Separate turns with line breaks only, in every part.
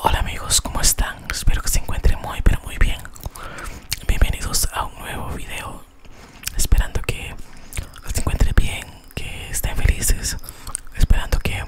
Hola amigos, ¿cómo están? Espero que se encuentren muy pero muy bien. Bienvenidos a un nuevo video. Esperando que se encuentren bien, que estén felices, esperando que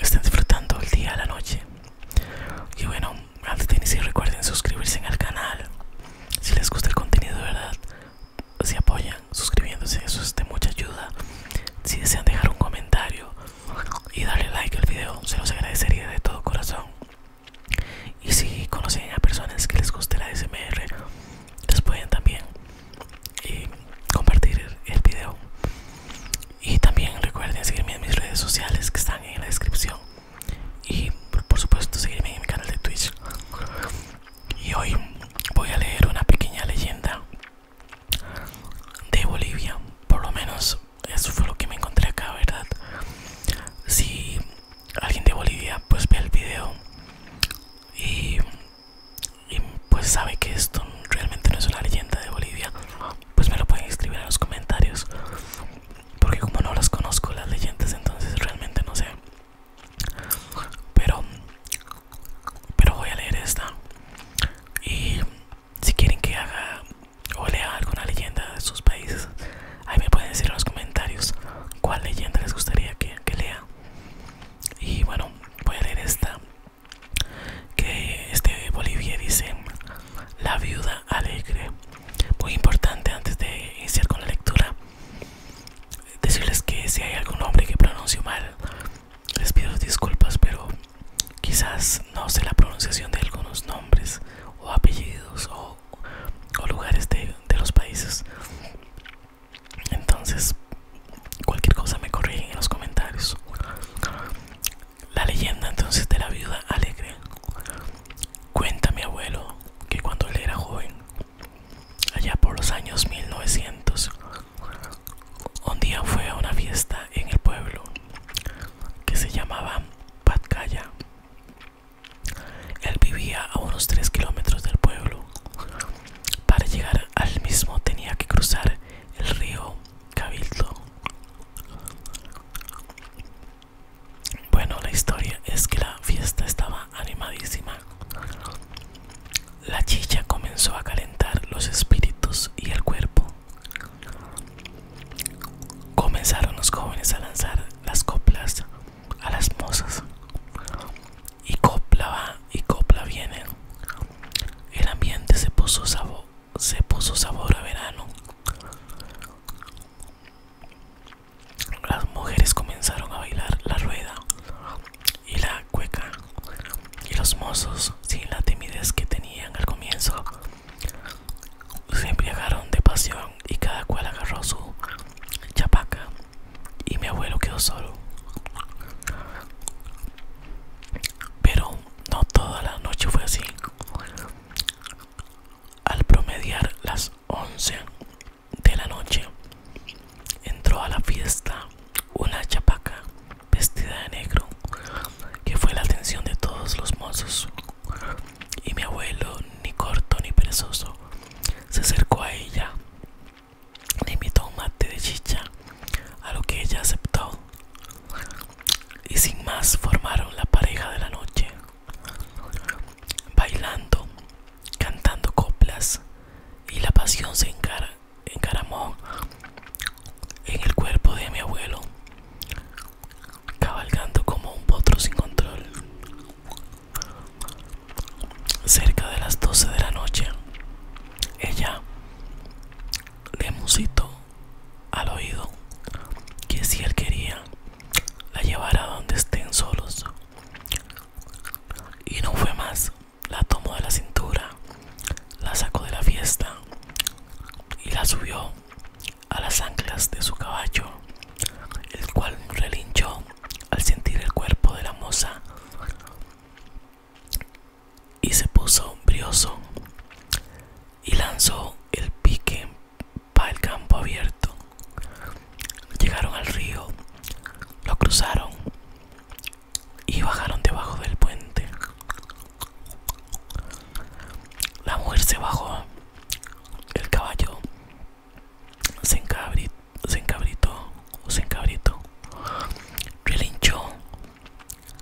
estén disfrutando el día, la noche. Y bueno, antes de iniciar recuerden suscribirse al canal. Si les gusta el contenido de verdad, si apoyan suscribiéndose, eso es de mucha ayuda. Si desean dejar un comentario y darle like al video, se los agradecería de todo corazón. Y si conocen a personas que les guste la SMR, les pueden también eh, compartir el video. Y también recuerden seguirme en mis redes sociales que están en la descripción y por supuesto seguirme en mi canal de Twitch. Y hoy voy a leer una pequeña leyenda de Bolivia, por lo menos eso fue lo que me encontré acá, ¿verdad? Si alguien de Bolivia pues ve el video y, pues sabe que esto realmente no es una leyenda de Bolivia, pues me lo pueden escribir en los comentarios. Porque como no las conozco las leyendas, entonces realmente no sé pero pero voy a leer esta y si quieren que haga o lea alguna leyenda de sus países, ahí me pueden decir en los comentarios cuál leyenda les gustaría que, lea. Y bueno, voy a leer esta que este Bolivia dice La viuda alegre. Muy importante antes de iniciar con la lectura decirles que si hay algún nombre que pronuncio mal, les pido disculpas, pero quizás no sé la pronunciación de algunos nombres o apellidos o, lugares de, los países. Entonces, cualquier cosa me corrigen en los comentarios. La leyenda entonces de la viuda alegre. Cuenta mi abuelo que cuando él era joven Allá por los años 1900, un día fue a una fiesta en el pueblo que se llamaba Patkaya. Él vivía a unos 3 kilómetros del pueblo. Para llegar al mismo tenía que cruzar el río Cabildo. Bueno, la historia es que la fiesta estaba animadísima. La chicha comenzó a calentar los espíritus y el cuerpo. Comenzaron los jóvenes a lanzar las coplas a las mozas. Y copla va y copla viene. El ambiente se puso sabor, se puso sabor a verano. Las mujeres comenzaron a bailar la rueda y la cueca y los mozos, sin la timidez que tenían al comienzo, se embriagaron de pasión y cada cual agarró su chapaca y mi abuelo quedó solo. Pero no toda la noche fue así. Al promediar las 11 de la noche entró a la fiesta una chapaca vestida de negro que fue la atención de todos los mozos y mi abuelo ni corto ni perezoso se acercó a ella le invitó un mate de chicha a lo que ella aceptó y sin más formaron la pareja de la noche bailando, cantando coplas y la pasión se encaramó en el cuerpo de mi abuelo, cabalgando como un potro sin control. Cerca de las 12 de la noche, ella le musitó al oído que si él quería la llevará donde estén solos. Y no fue más, la tomó de la cintura, la sacó de la fiesta y la subió a las anclas de su caballo, el cual relinchó al sentir el cuerpo de la moza y se puso brioso y lanzó el pique para el campo abierto. Llegaron al río, lo cruzaron y bajaron debajo del puente. La mujer se bajó, el caballo se, se encabritó, se encabritó, relinchó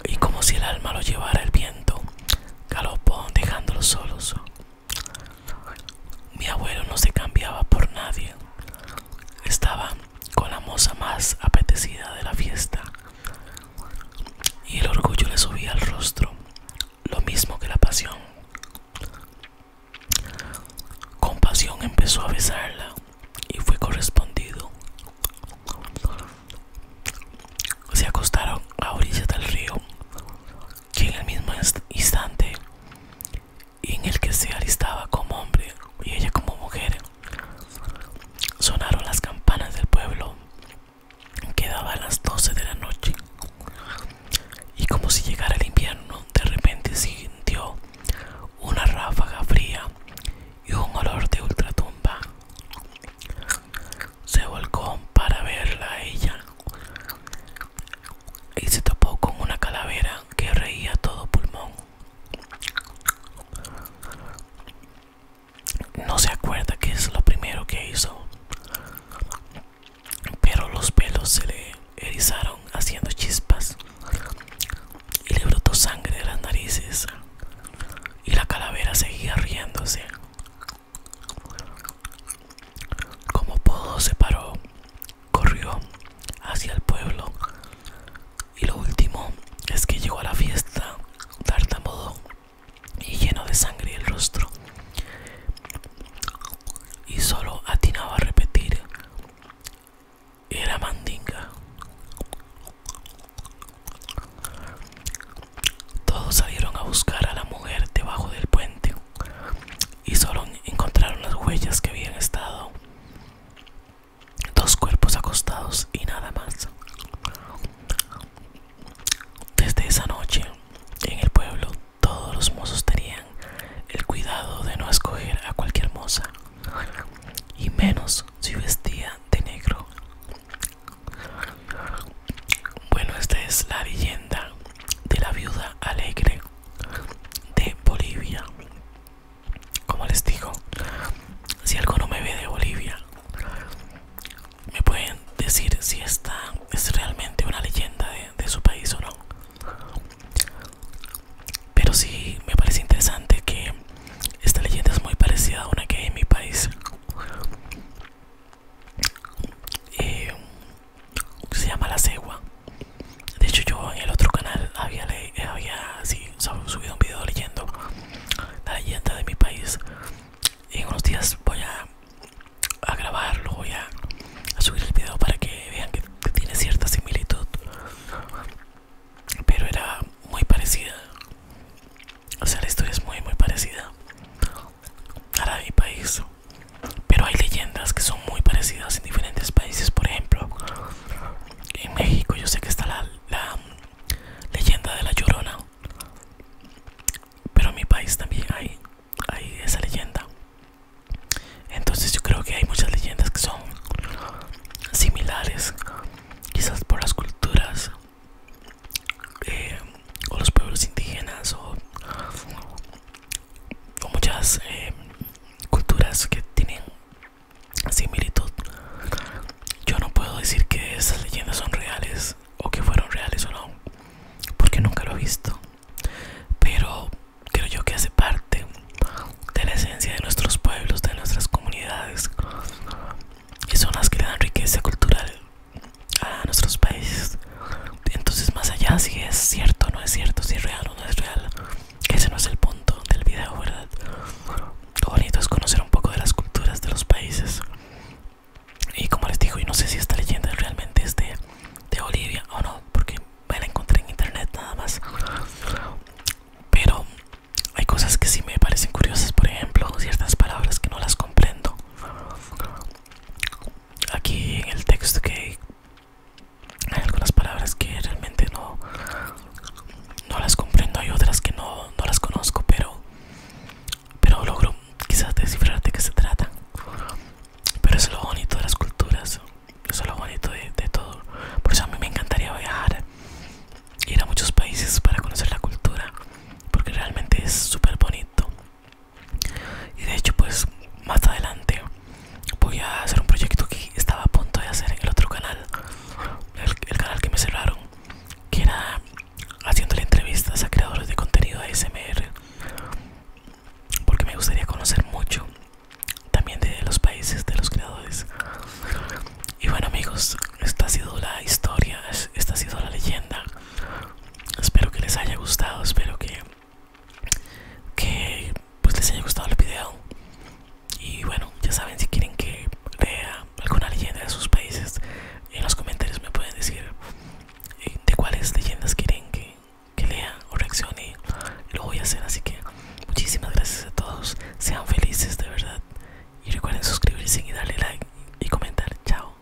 y como si el alma lo llevara el viento, galopó dejándolo solos. Mi abuelo no se cambiaba por nadie. Estaba con la moza más apetecida de la fiesta. Y el orgullo le subía al rostro, lo mismo que la pasión. Con pasión empezó a besarla y fue correspondido. Se acostaron a orillas del río y en el mismo instante en el que se alistaba como hombre y ella como mujer, sonaron las campanas del pueblo quedaba las 12 de la noche y como si llegara el invierno de repente sintió una ráfaga fría y un olor de ultratumba se volcó para verla a ella y se topó con una calavera que reía todo pulmón. No se acuerda qué es lo primero que hizo, pero los pelos se le erizaron haciendo chispas y le brotó sangre de las narices y la calavera seguía riéndose. Como pudo se paró, corrió hacia el pueblo y lo último es que llegó a la fiesta tartamudo y lleno de sangre el rostro y solo atinaba a repetir era mandinga. Todos salieron a buscar a la mujer debajo del puente y solo encontraron las huellas que habían estado dos cuerpos acostados y nada más. Desde esa noche, en el pueblo, todos los mozos tenían el cuidado de no escoger a cualquier moza, y menos si vestía de negro. Bueno, esta es la leyenda de la viuda alegre de Bolivia. Como les digo, si algo no me ve de Bolivia, me pueden decir si esta es realmente una leyenda de, su país o no. Pero sí me parece interesante que esta leyenda es muy parecida a una que hay en mi país. Eh, se llama La Cegua. De hecho, yo en el otro canal había, había subido un video leyendo la leyenda de mi país. En unos días voy a, grabarlo, voy a, subir el video para que vean que, que tiene cierta similitud. Pero era muy parecida. O sea, la historia es muy, muy parecida para mi país. Pero hay leyendas que son muy parecidas en diferentes países. Por ejemplo, en México yo sé que está la, leyenda de la llorona. Pero en mi país también hay, hay esa leyenda. Entonces yo creo que hay muchas leyendas que son similares. Quizás por las culturas. Eh, o los pueblos indígenas o, muchas eh, culturas que tienen similitud. Yo no puedo decir que esas leyendas son reales o que fueron reales o no, porque nunca lo he visto. Pero creo yo que hace parte de la esencia de nuestros pueblos, de nuestras comunidades, y son las que le dan riqueza cultural a nuestros países. Entonces, más allá, si es cierto o no es cierto, si es real o no es real, ese no es el punto del video, ¿verdad? Lo bonito es conocer un poco de las culturas de los países. Y como les digo, yo no sé si esta leyenda realmente es de, de Bolivia o no, porque me la encontré en internet nada más. Pero hay cosas que sí me parecen curiosas, por ejemplo, ciertas palabras que no las comprendo aquí en el texto que hay algunas palabras que realmente no no las comprendo hay otras que no, las conozco pero pero logro quizás descifrar de qué se trata pero es lo bonito de las culturas es lo bonito de, de todo por eso a mí me encantaría viajar ir a muchos países para conocer la cultura porque realmente es súper bonito y de hecho pues más adelante voy a hacer un proyecto que estaba a punto de hacer en el otro canal el, canal que me cerraron que era haciéndole entrevistas a creadores de contenido ASMR porque me gustaría conocer mucho también de los países de los creadores y bueno amigos esta ha sido la historia esta ha sido la leyenda espero que les haya gustado espero que que pues les haya gustado el video y bueno ya saben si quieren que lea alguna leyenda de sus países en los comentarios me pueden decir eh, de cuáles leyendas quieren que, que lea o reaccione lo voy a hacer así que muchísimas gracias a todos sean felices de verdad y recuerden suscribirse y darle like y comentar chao